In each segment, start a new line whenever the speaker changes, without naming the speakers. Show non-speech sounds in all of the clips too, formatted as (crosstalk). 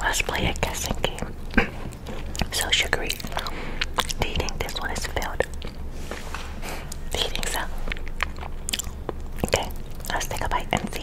Let's play a guessing game. so sugary. Do you think this one is filled? Do you think so? Okay, let's take a bite and see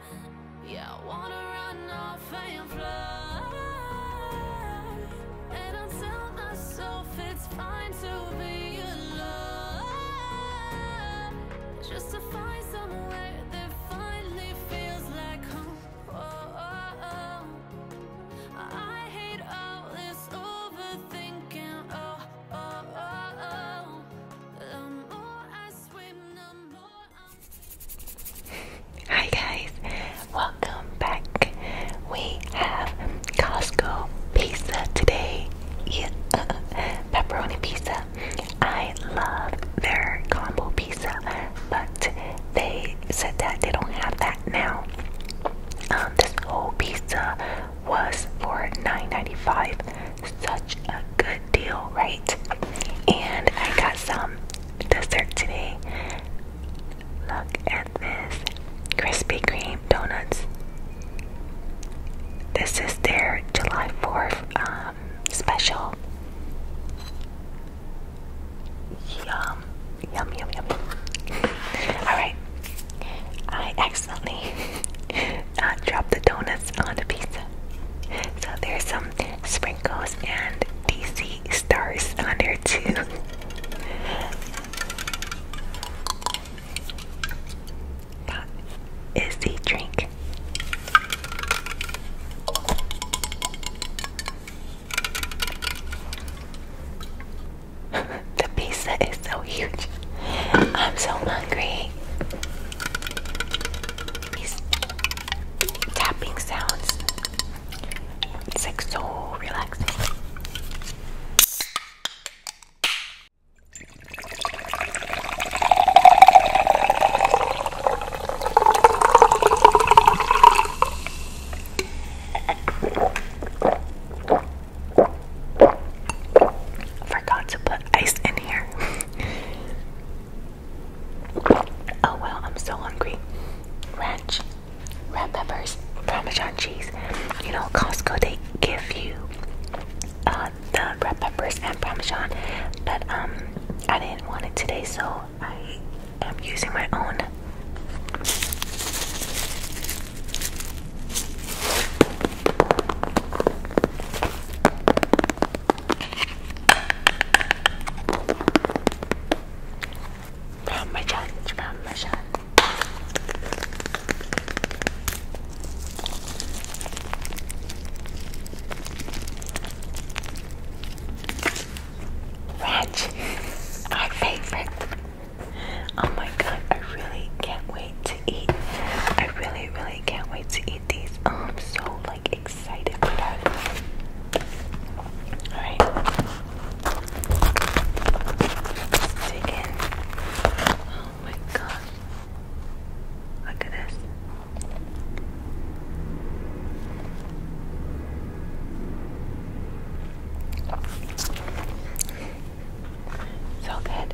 yeah, I wanna run off and fly And I tell myself it's fine to be alone Just to find somewhere that finally feels like home I hate all this overthinking oh, oh, oh, oh. The more I swim, the more Hi guys, welcome back. We have Costco pizza today. Yeah. (laughs) Pepperoni pizza. I love their combo pizza, but they said that they don't have that now. Um, this whole pizza was for $9.95 such a good deal, right? And I got some dessert today. Look at this Krispy Kreme donuts. This is their July 4th um, special. Yum, yum, yum, yum. (laughs) Alright, I accidentally (laughs) uh, dropped the donuts on the pizza. So there's some. Um, sprinkles and DC stars on there too. that is the drink. (laughs) the pizza is so huge. I'm so hungry. These tapping sounds. It's like so relaxing. Forgot to put ice in here. (laughs) Oh well, I'm so hungry. Ranch, red peppers, Parmesan cheese. You know, Costco they give you uh, the red peppers and Parmesan, but um, I didn't want it today, so I am using my own. Parmesan, Parmesan. Ranch, our favorite. Oh my god, I really can't wait to eat. I really, really can't wait to eat. Oh, I'm so like excited for that. All dig in. Oh my god, look at this. So good.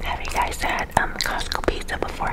Have you guys had um Costco pizza before?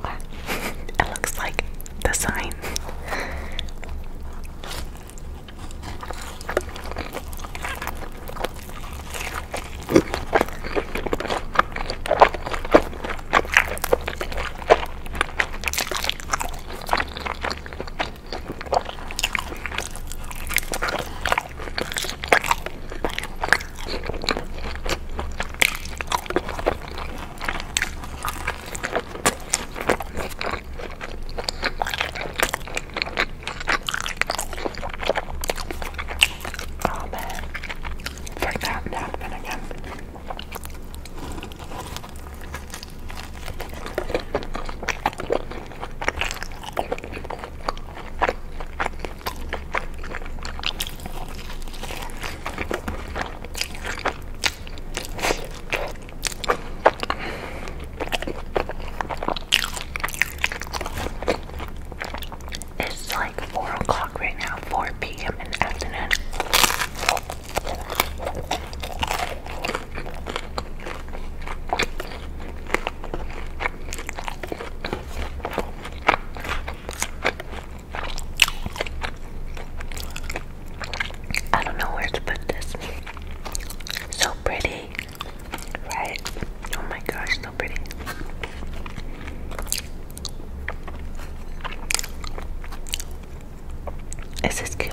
it looks like the sign. Oh man, for that to again. It's like 4 o'clock right now, 4 p.m. in the afternoon. I don't know where to put this. So pretty, right? Oh my gosh, so pretty. Is cute?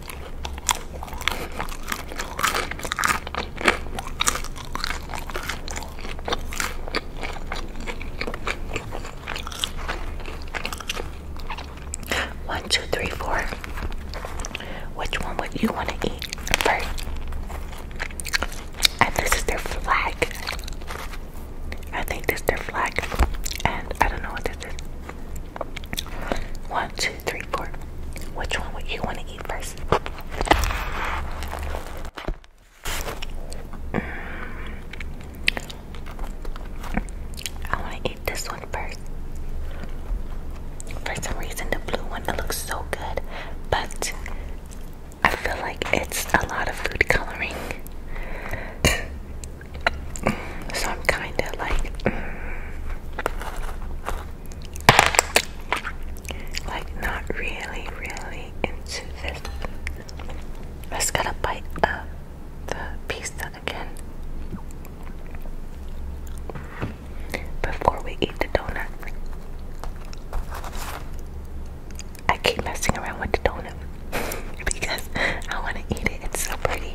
One, two, three, four. Which one would you want to eat first? And this is their flag. I think this is their flag. And I don't know what this is. One, two, three, four. Which one would you want to eat first? Mm. I want to eat this one first. For some reason, the blue one looks so good, but I feel like it's a lot of food coloring. so I'm kind of like, mm. Like, not really, really into this. Let's get a bite up uh, the pizza again before we eat the donut. I keep messing around with the donut (laughs) because I want to eat it. It's so pretty.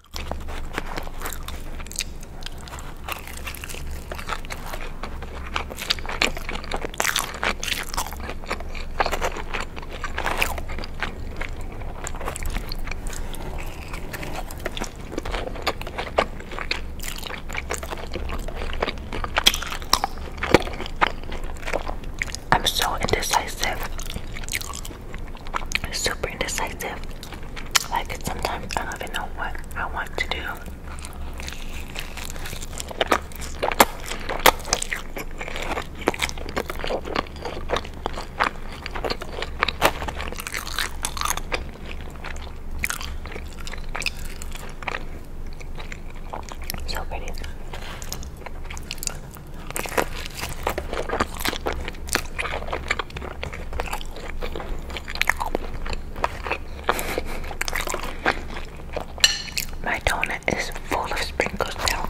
I'm so indecisive super indecisive. Like sometimes I don't even know what I want to do. So pretty. My donut is full of sprinkles now.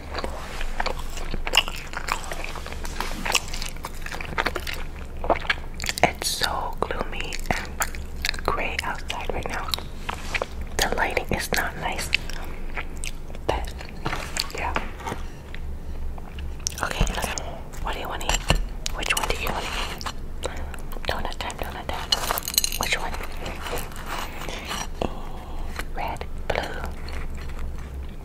It's so gloomy and gray outside right now. The lighting is not nice. But yeah. Okay, What do you want to eat? Which one do you want to eat? Donut time, donut time. Which one? Red, blue.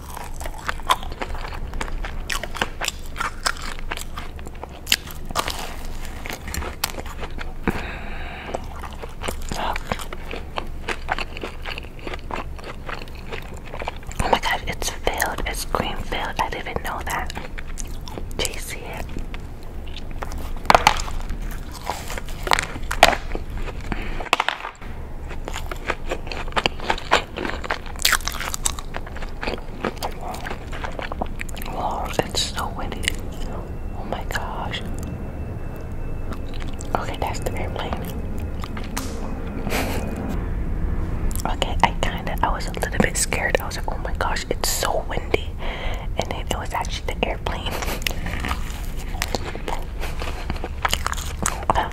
Oh my god, it's filled. It's cream filled. I didn't know that. Do you see it? Wow, it's so windy. Oh my gosh. Okay, that's the airplane. (laughs) okay, I kinda I was a little bit scared. I was like, oh my gosh, it's so windy. And then it was actually the airplane. (laughs) I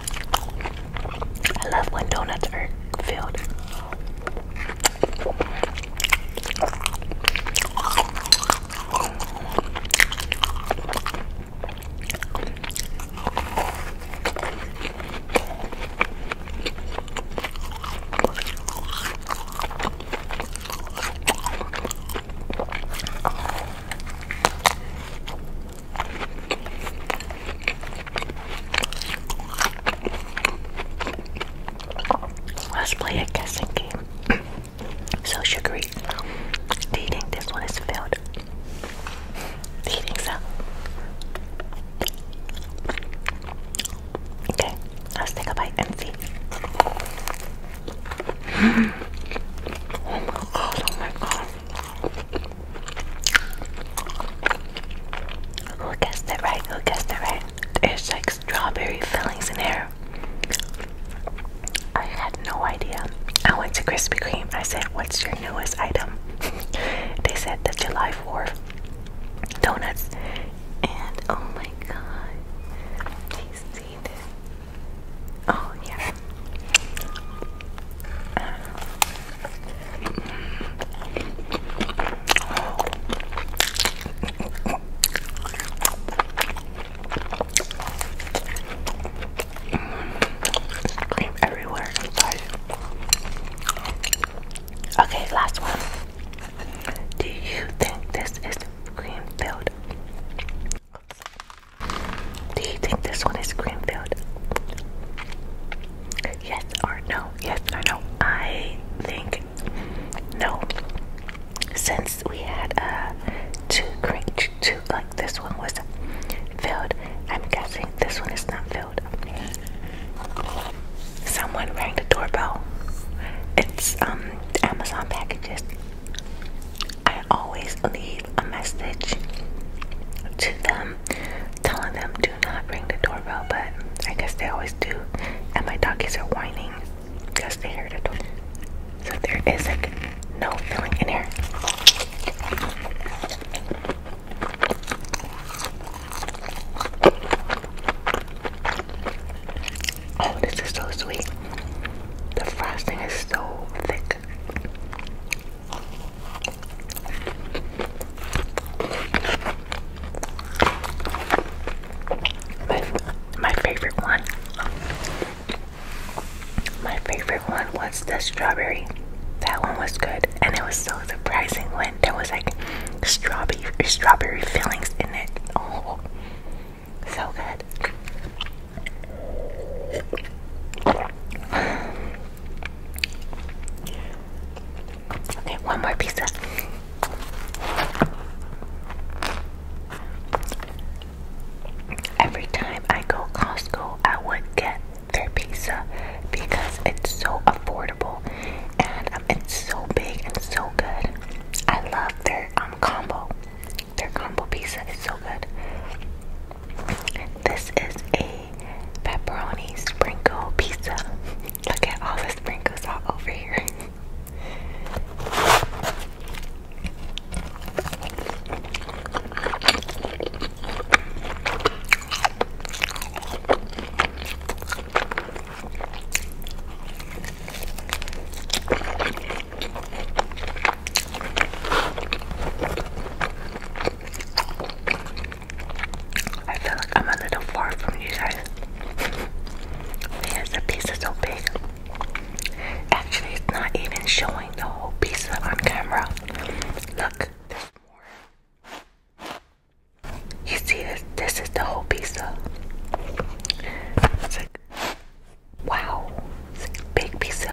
love when donuts are filled. Let's play a guessing game. (clears throat) so sugary. Do you think this one is filled? Do you think so? Okay, let's take a bite and see. (gasps) oh my god, oh my god. Who guessed it right? Who guessed it right? There's like strawberry fillings in there. I had no idea. I went to Krispy Kreme. I said, What's your newest item? (laughs) they said the July 4th donuts. And oh my god. Do you Oh yeah. Cream everywhere, guys. Okay, last one. Do you think this is cream filled? Do you think this one is cream filled? Yes or no? Yes or no? I think no. Since we had a uh, two cream, two like this one was filled. I'm guessing this one is not filled. Someone rang the doorbell. It's um Amazon packages. I always leave a message to them telling them do not ring the doorbell, but I guess they always do. And my doggies are whining because they heard the it. So there is like no filling in here. Oh, this is so sweet. The frosting is so thick. My, my favorite one. My favorite one was the strawberry. That one was good, and it was so surprising when there was like strawberry strawberry fillings in it. Oh, so good. Okay, one more pizza. Every time I go Costco, I would get their pizza because it's so affordable and um, it's so big and so good. I love their um, combo. Their combo pizza is so good. This is a pepperoni sprinkle pizza. Look at all the sprinkles all over here. I feel like I'm a little far from you guys because piece is so big. Actually, it's not even showing the whole pizza on camera. Look, there's more. You see this? This is the whole pizza. It's like, wow, it's a big pizza.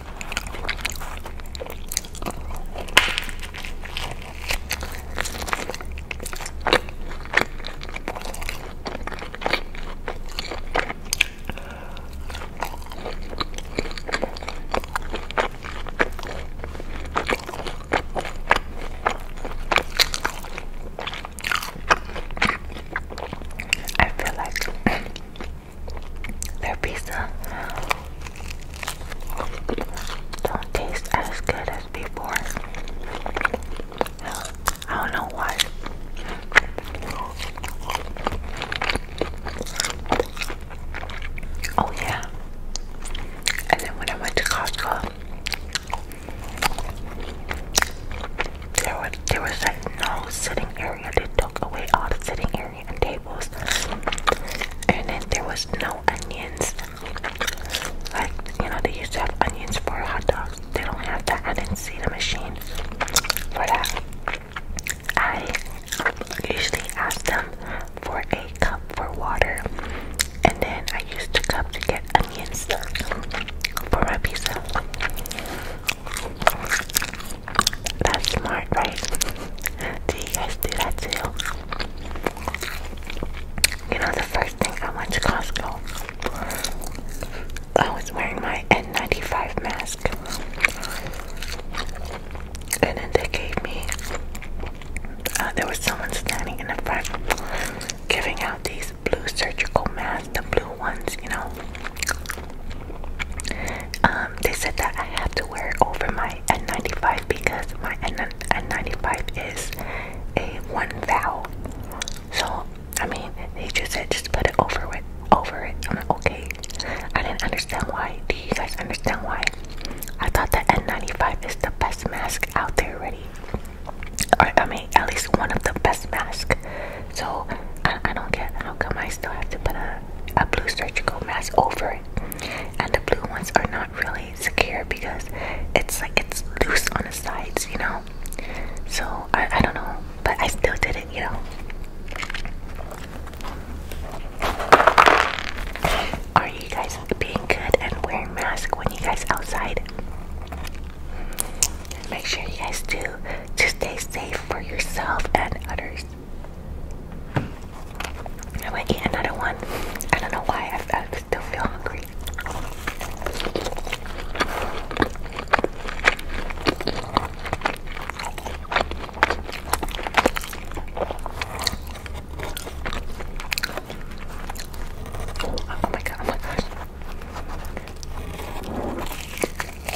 I feel like their pizza don't taste as good as before. I don't know why. Oh yeah. And then when I went to Costco, there was there was like no sitting area. They took away all the sitting area and tables, and then there was no onions. Like you know, they used to have onions for hot dogs. They don't have that. I didn't see the machine for that. I usually ask them for a cup for water, and then I used the cup to get onions for my pizza. That's smart, right? do you guys do that too? You know, the first thing I went to Costco, I was wearing my N95 mask. And then they gave me, uh, there was someone standing in the front giving out these blue surgical masks, the blue ones, you know. Um, they said that I have to wear it over my N95 because my N N95 is a one vowel. So I mean, they just said just put it over it, over it. I'm like, okay. I didn't understand why. Do you guys understand why? I thought that N95 is the best mask out there already. Or I mean, at least one of the best masks. So I, don't get how come I still have to put a, a blue surgical mask over it. And the blue ones are not really secure because it's like it's loose on the sides, you know? So I, I don't know, but I still did it, you know? Are you guys being good and wearing masks when you guys outside? Make sure you guys do to stay safe for yourself and others. I'm to eat another one. I don't know why I, still feel hungry. Oh my god, oh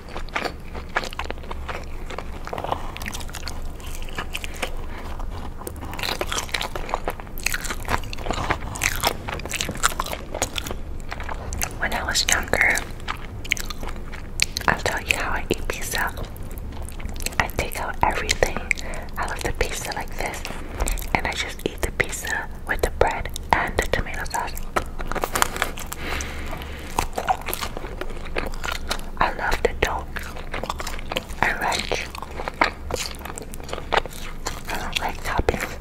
When I was younger, I'll tell you how I eat pizza. I take out everything out of the pizza like this, and I just eat the pizza with the bread and the tomato sauce. I love the dough and ranch. I don't like toppings.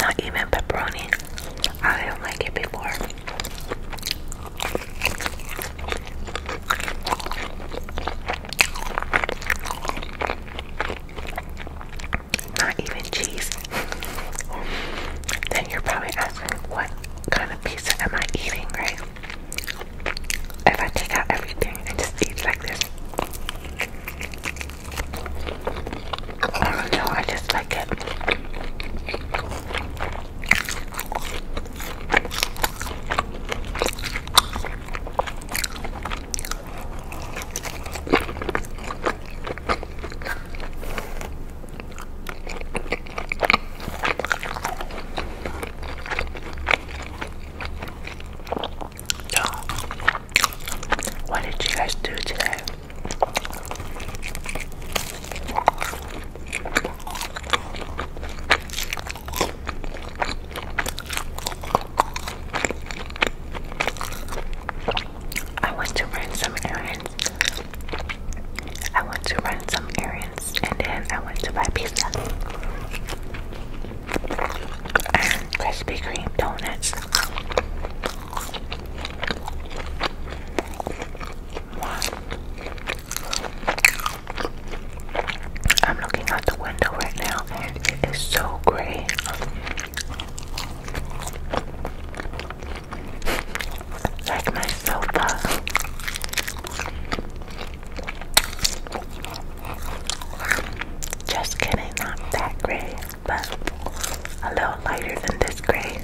Not even pepperoni. I do not like it before not even cheese, then you're probably asking, what kind of pizza am I eating, right? If I take out everything and just eat like this. I don't know, I just like it. What did you guys do today? I want to run some errands. I want to run some errands and then I want to buy pizza. And Krispy Kreme donuts. Wow. I'm looking out the window right now and it is so gray. Like my sofa. Just kidding, not that gray, but a little lighter than this gray.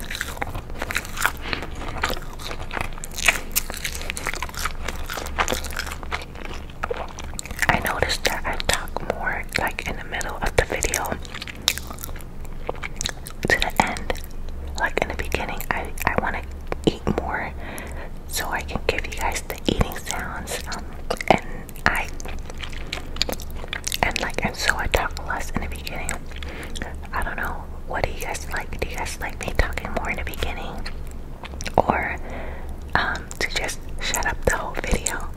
I noticed that I talk more like in the middle of the video to the end. Like in the beginning, I, I want to eat more so I can give you guys the eating sounds. Um, and I and like and so I talk less in the beginning. I don't know. What do you guys like? Do you guys like me talking more in the beginning? or um, to just shut up the whole video.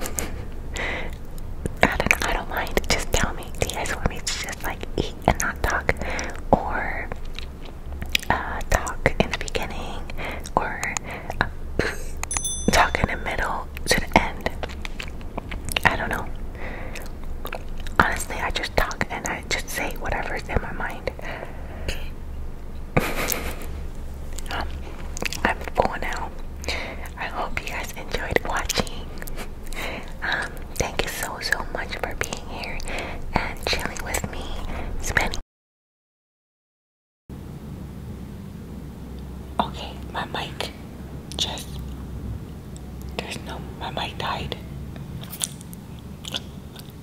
(laughs) I don't, I don't mind. Just tell me. Do you guys want me to just like eat and not talk, or uh, talk in the beginning, or uh, talk in the middle to the end? I don't know. Honestly, I just talk and I just say whatever's in my mind. (laughs) I'm full now. I hope you guys enjoyed watching. Um, thank you so so much for being here and chilling with me, Okay, my mic just there's no my mic died.